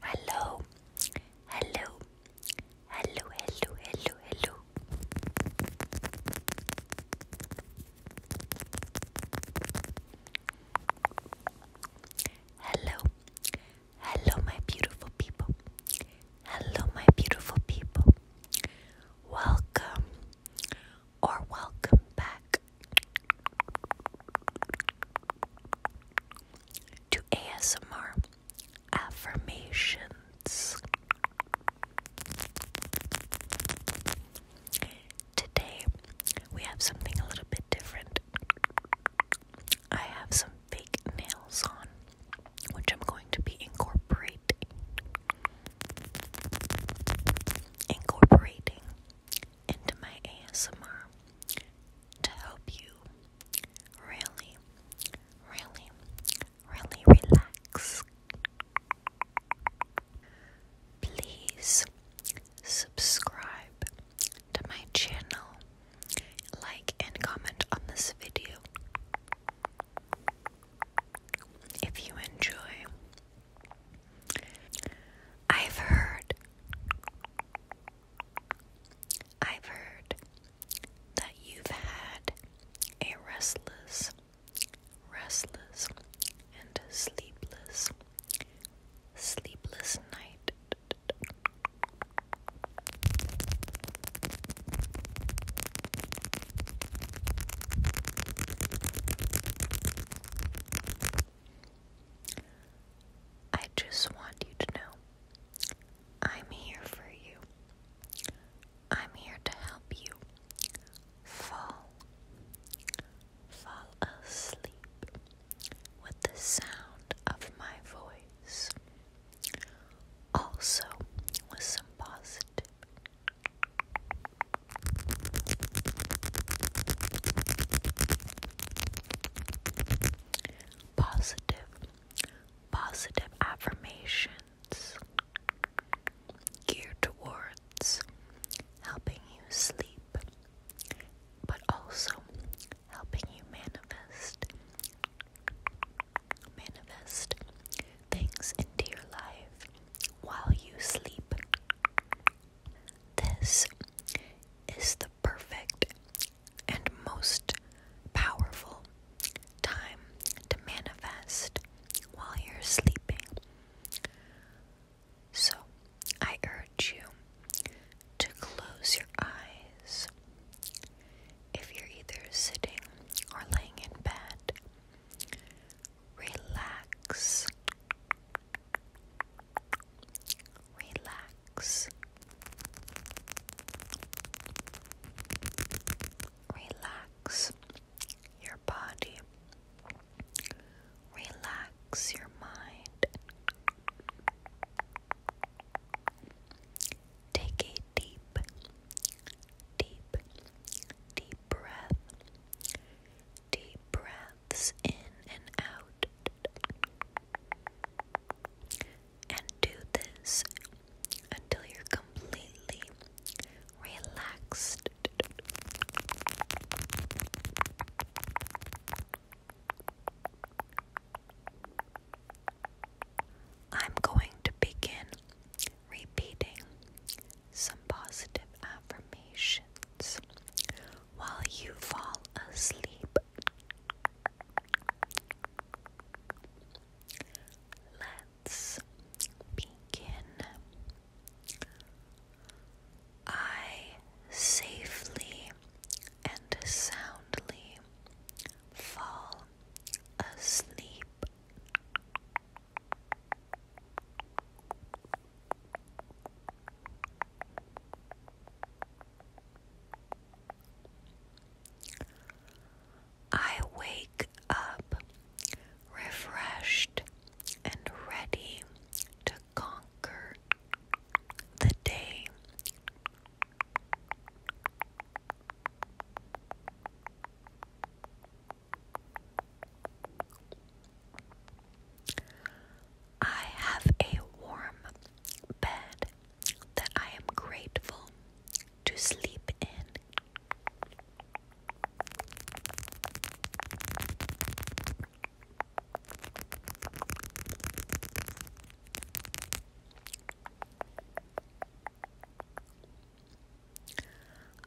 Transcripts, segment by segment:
Hello, hello, hello, hello, hello, hello. Hello, hello, my beautiful people. Hello, my beautiful people. Welcome or welcome back to ASMR affirmations. Today we have something a little bit different. I have some fake nails on, which I'm going to be incorporating. Incorporating into my ASMR to help you really, really, really relax. Please subscribe to my channel, like, and comment on this video if you enjoy. I've heard I've heard that you've had a restless, restless, and sleepless, sleepless night. I just want you to know I'm here for you. I'm here to help you fall, fall asleep with the sound of my voice. Also, with some positive. Positive, positive affirmations geared towards helping you sleep, but also helping you manifest, manifest things into your life while you sleep. This is the perfect and most powerful time to manifest while you're sleeping. So, I urge you to close your eyes if you're either sitting or laying in bed. Relax Relax. Relax your body. Relax your mind. Take a deep, deep, deep breath deep breaths in and out. And do this until you're completely relaxed. I'm going to begin repeating some positive affirmations while you fall asleep. Let's begin. I safely and soundly fall asleep. I wake up refreshed and ready to conquer the day. I have a warm bed that I am grateful to sleep in.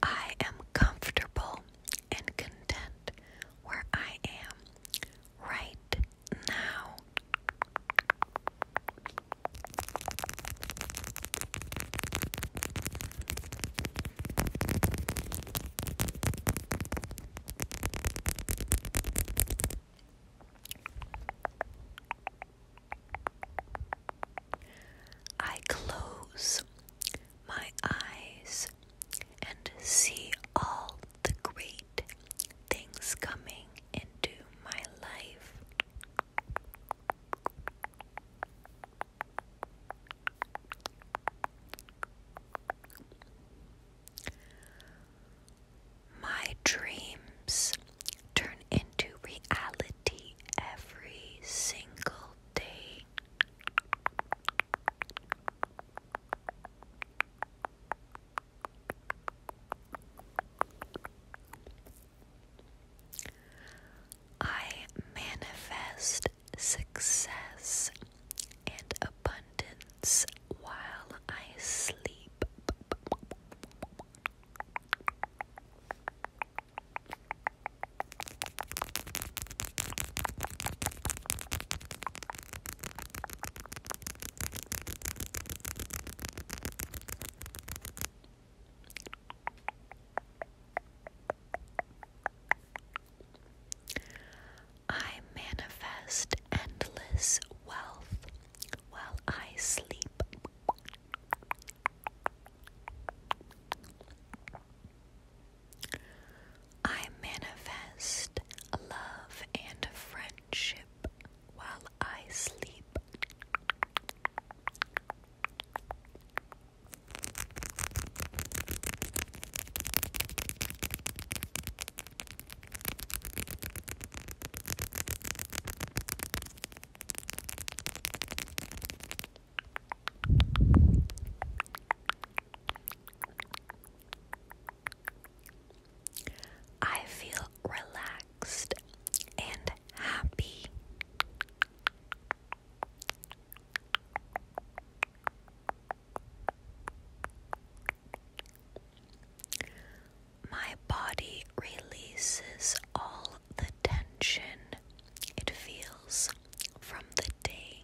I am comfortable and content where I am right now. I close my eyes and see all the great things coming into my life. My dreams turn into reality every single day. I manifest success and abundance while I sleep. I manifest endless wealth while I sleep. I manifest love and friendship while I sleep. I feel relaxed and happy. My body releases all the tension it feels from the day.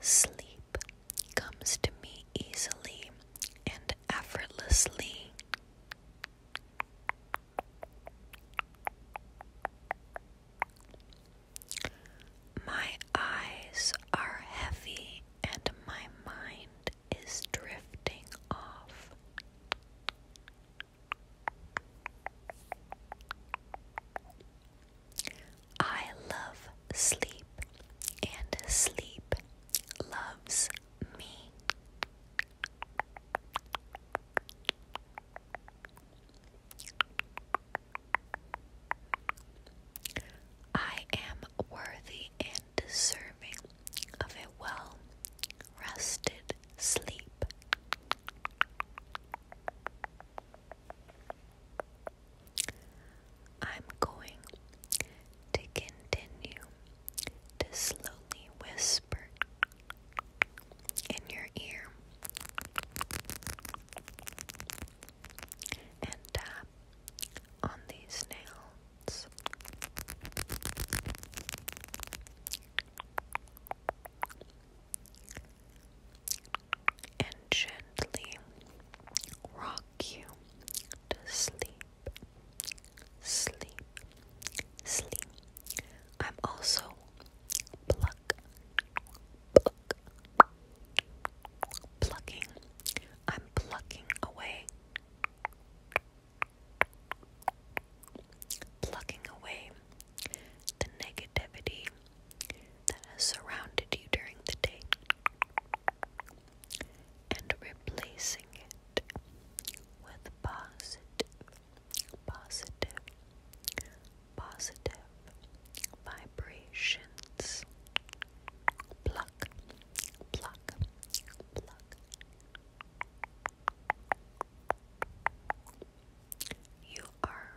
Sleep comes to me easily and effortlessly. My eyes are heavy and my mind is drifting off. I love sleep, and sleep loves me. I am worthy and deserving of a well rested sleep. I'm going to continue to slowly whisper in your ear and tap on these nails and gently rock you to sleep. Sleep, sleep. I'm also pluck, pluck, plucking. I'm plucking away, plucking away the negativity that has surrounded you during the day and replacing it with positive, positive, positive vibrations. Pluck, pluck, pluck. You are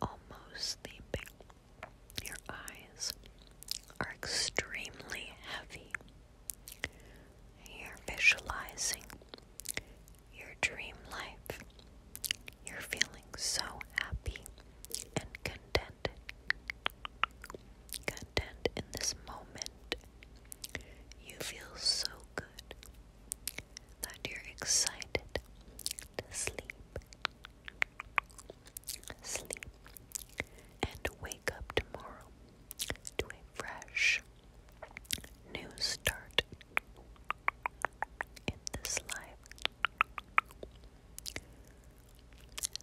almost sleeping. Your eyes are extremely heavy. You're visualizing your dream life. You're feeling so happy and contented. Content in this moment. You feel so good that you're excited to sleep, sleep, and wake up tomorrow to a fresh new start in this life.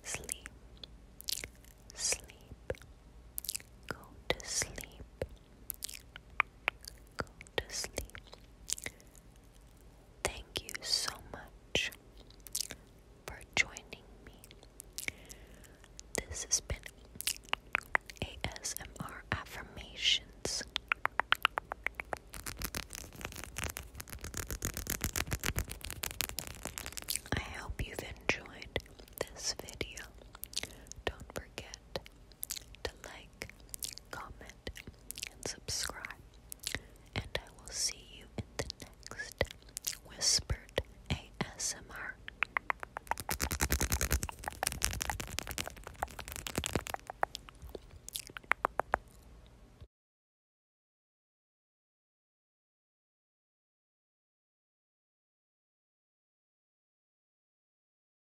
Sleep, sleep, go to sleep to sleep. Thank you so much for joining me. This has been ASMR Affirmations. I hope you've enjoyed this video. Don't forget to like, comment, and subscribe. And I will see you in the next Whispered ASMR.